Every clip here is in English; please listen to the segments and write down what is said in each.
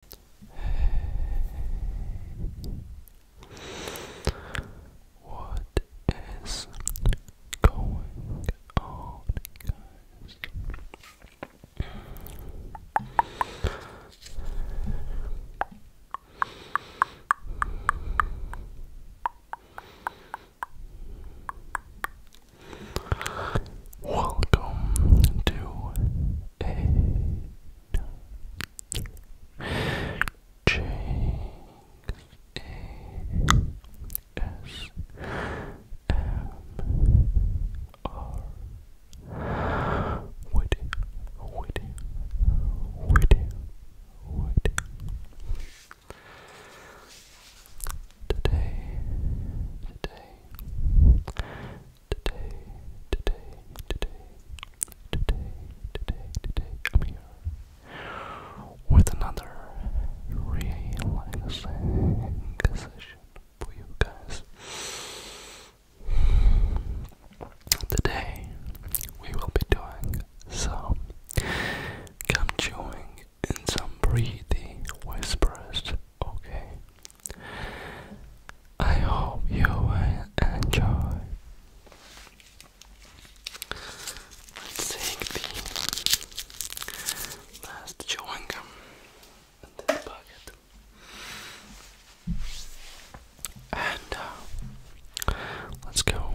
Hey, what is going on, guys? Welcome to a Jinx Woody Woody Woody Woody Today, today, Today, today, today, today, today, today, I'm here with another relaxing session for you guys. Today, we will be doing some gum chewing and some breathing whispers, okay? I hope you will enjoy. Let's take the last chewing gum in this bucket. And uh, let's go.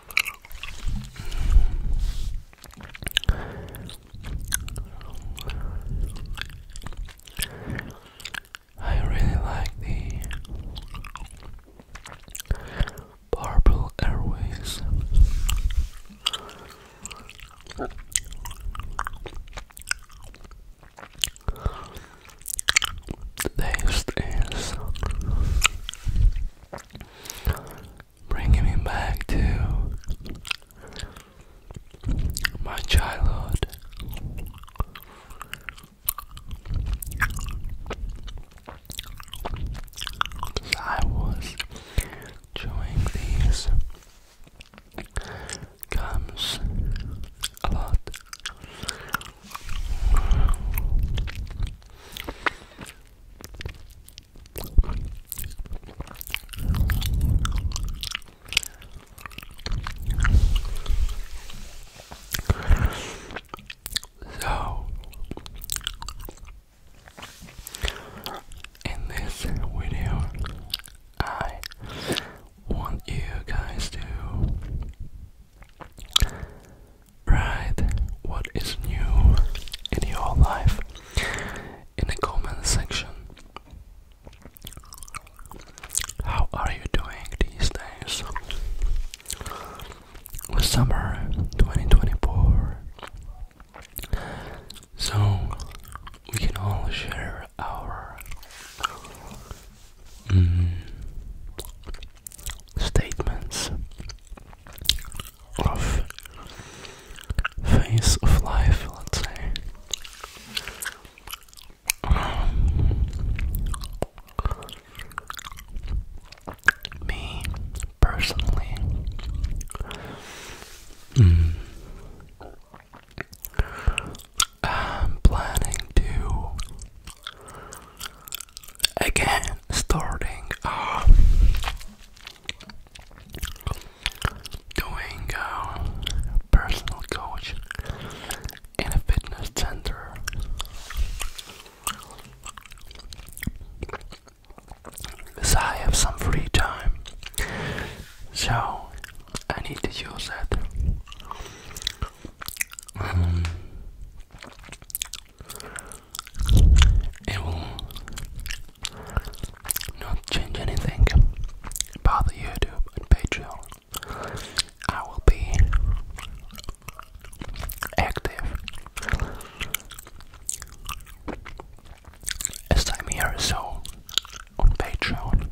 I really like the Purple Airways. taste is bringing me back to my childhood. I was chewing these gums a lot. So, in this video, I want you guys to Right, what is new in your life? In the comment section. How are you doing these days? Summer 2024. So we can all share our Mm. statements of phase of life, let's say. Um, me personally, mm. I'm planning to again starting doing uh, personal coach in a fitness center because I have some free time so I need to use it um, it will not change anything about YouTube and Patreon. I will be active as time here, so on Patreon.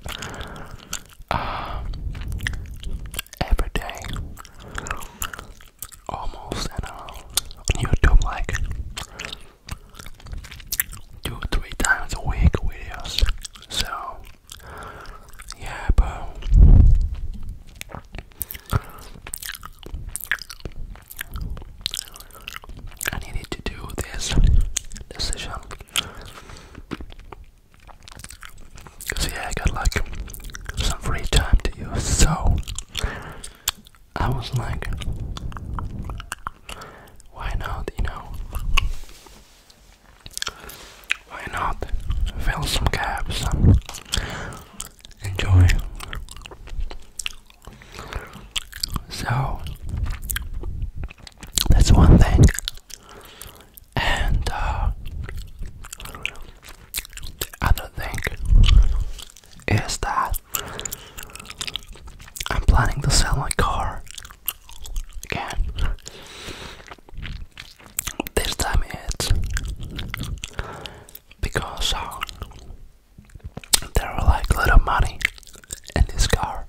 Um, every day, almost, and uh, on YouTube, like two or three times a week videos. So, yeah, but I needed to do this decision Cause I got like some free time to use, so I was like, why not, you know? Why not fill some gaps enjoy? So that's one thing and uh, the other thing is that I'm planning to sell my car again. This time it's because uh, there are like little money in this car.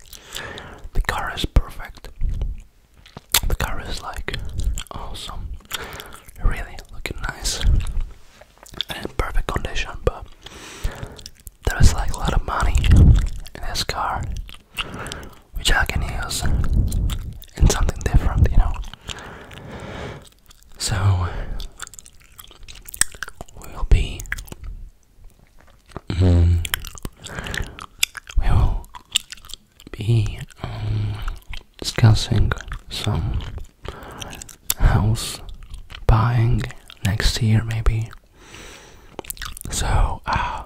The car is perfect. The car is like awesome, really looking nice and in perfect condition. But there is like a lot of money in this car, which I can use in something different, you know. So we'll be Mm-hmm. We will be um, discussing some house buying next year, maybe. So, uh,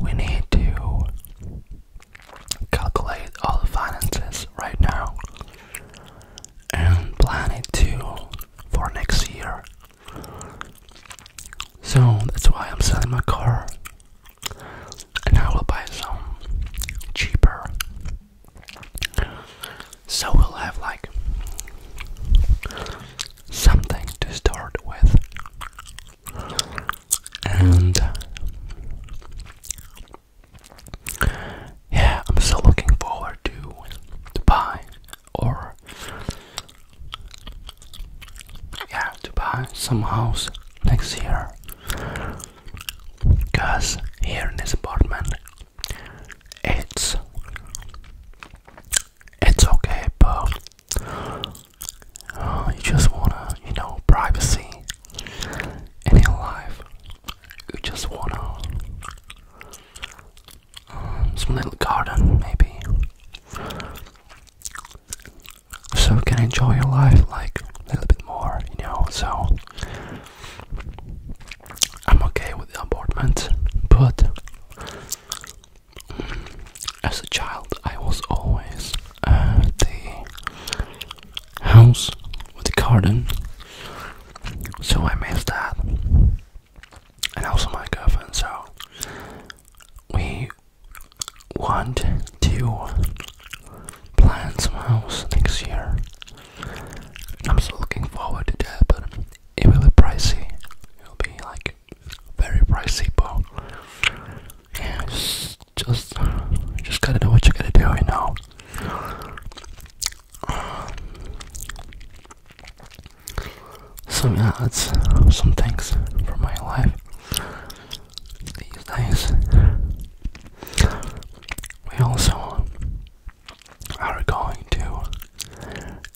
we need to calculate all the finances right now and plan it too for next year. So that's why I'm selling my car. And I will buy some cheaper. So we'll have like something to start with. And yeah, I'm so looking forward to to buy or yeah to buy some house next year because here in this apartment it's it's okay but uh, you just wanna you know privacy in your life you just wanna um, some little garden, maybe, so you can enjoy your life like a little bit more, you know. So I'm okay with the apartment, but mm, as a child, I was always at uh, the house with the garden, so I miss that and also my girlfriend. So we want to plan some house next year. I'm still looking forward to that, but it will be pricey. It'll be like very pricey, but yeah, just just, gotta do what you gotta do, you know. So yeah, that's some things for my life these days. We also are going to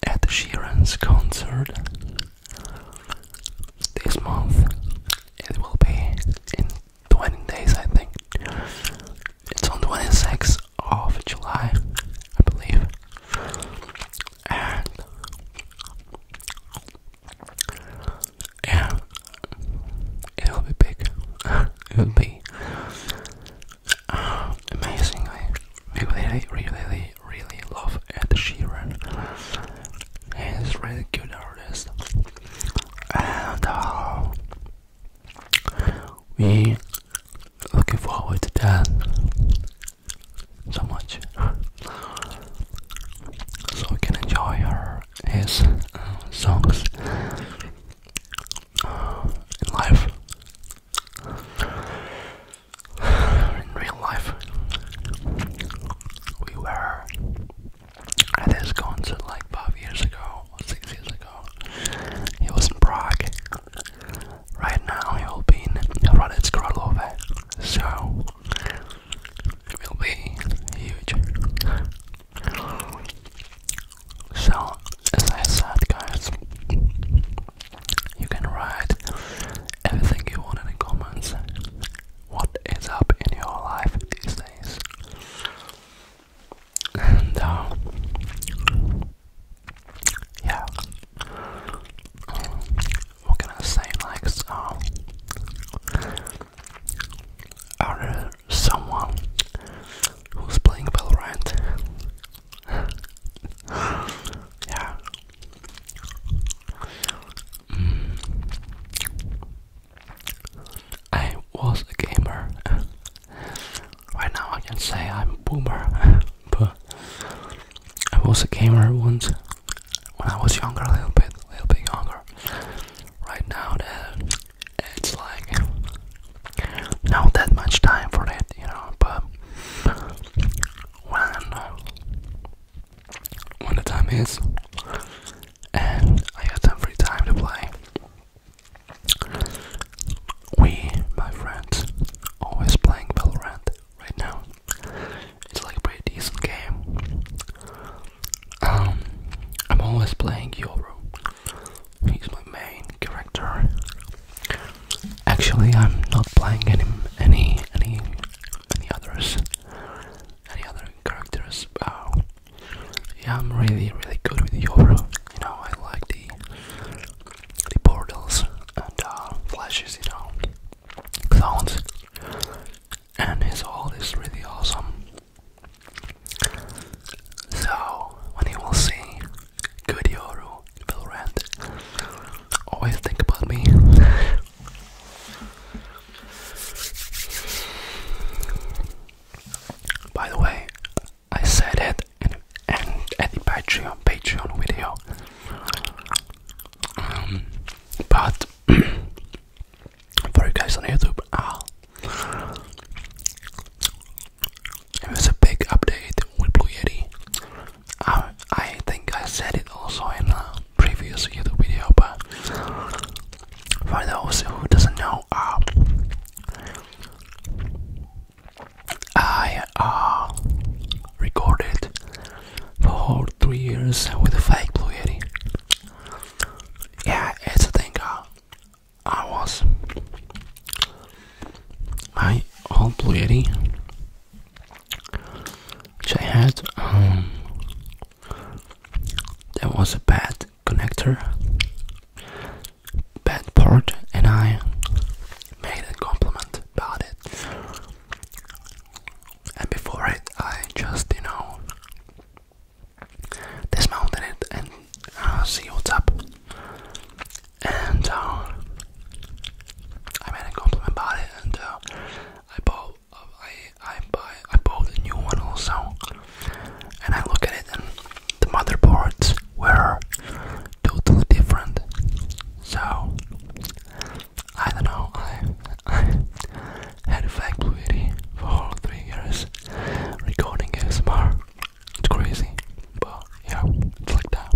Ed Sheeran's concert this month. It will be in 20 days, I think. It's on 26th of July, I believe. And yeah, it'll be big. it'll be uh, amazingly. We really, really, really love Ed Sheeran. He's really good artist, and uh, we looking forward to that so much so we can enjoy her his uh, songs uh, in life in real life we were at this concert like five years ago six years ago, he was in Prague. Right now, he will be in Hradec Králové, so it will be huge. So, as I said, guys, you can write everything you want in the comments. What is up in your life these days? and uh, yeah, um, what can I say? Like, um, are someone who's playing Valorant? yeah. Hmm. I was a gamer. right now I can say I'm a boomer, but I was a gamer once when I was younger, a little bit, a little bit younger. Right now, that it's like not that much time for that, you know. But when when the time is, and I have some free time to play. We, my friends, always playing Valorant right now. It's like a pretty game. Um, I'm always playing Yoro. He's my main character. Actually, I'm not playing any any any any others any other characters. Wow, yeah, I'm really, really good with Yoru. You know, I like the the portals and uh, flashes. You know, clowns, and his all is really awesome. So when you will see good Yoru will rant, always think about me. By the way, I said it in, the Patreon video, um, but for you guys on YouTube, ah, it was a big update with Blue Yeti. I, think I said it also in uh, previous YouTube video, but for those who doesn't know, um, I uh, recorded for three years with a fake Blue Yeti. Yeah, it's a thing. Uh, I was my old Blue Yeti, which I had um, there was a bad connector, bad port, and I made a compliment about it. And before it, I just, you know, dismounted it and uh, see what's up. And uh, I made a compliment about it, and uh, I bought I I buy I bought a new one also, and I look at it and the motherboards were totally different. So I don't know. I had a factory for all three years recording ASMR. It's crazy, but yeah, it's like that.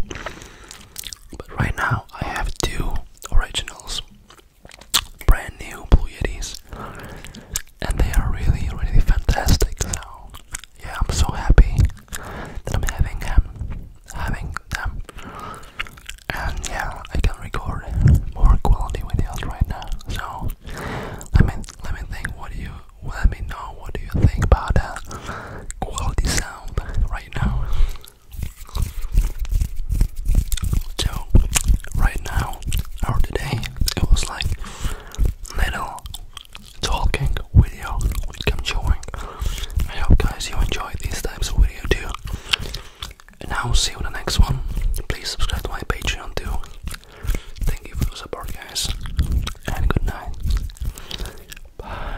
But right now I have two originals brand new Blue Yetis, and they are really, really fantastic. So yeah, I'm so happy that I'm having them, having them, and yeah, I can record more quality videos right now. So let me let me think. What do you? Let me know. What do you think about that quality sound right now? So, right now, or today, it was like little talking video we I'm I hope guys you enjoyed these types of video too. And I'll see you in the next one. Please subscribe to my Patreon too. Thank you for the support guys. And good night. Bye.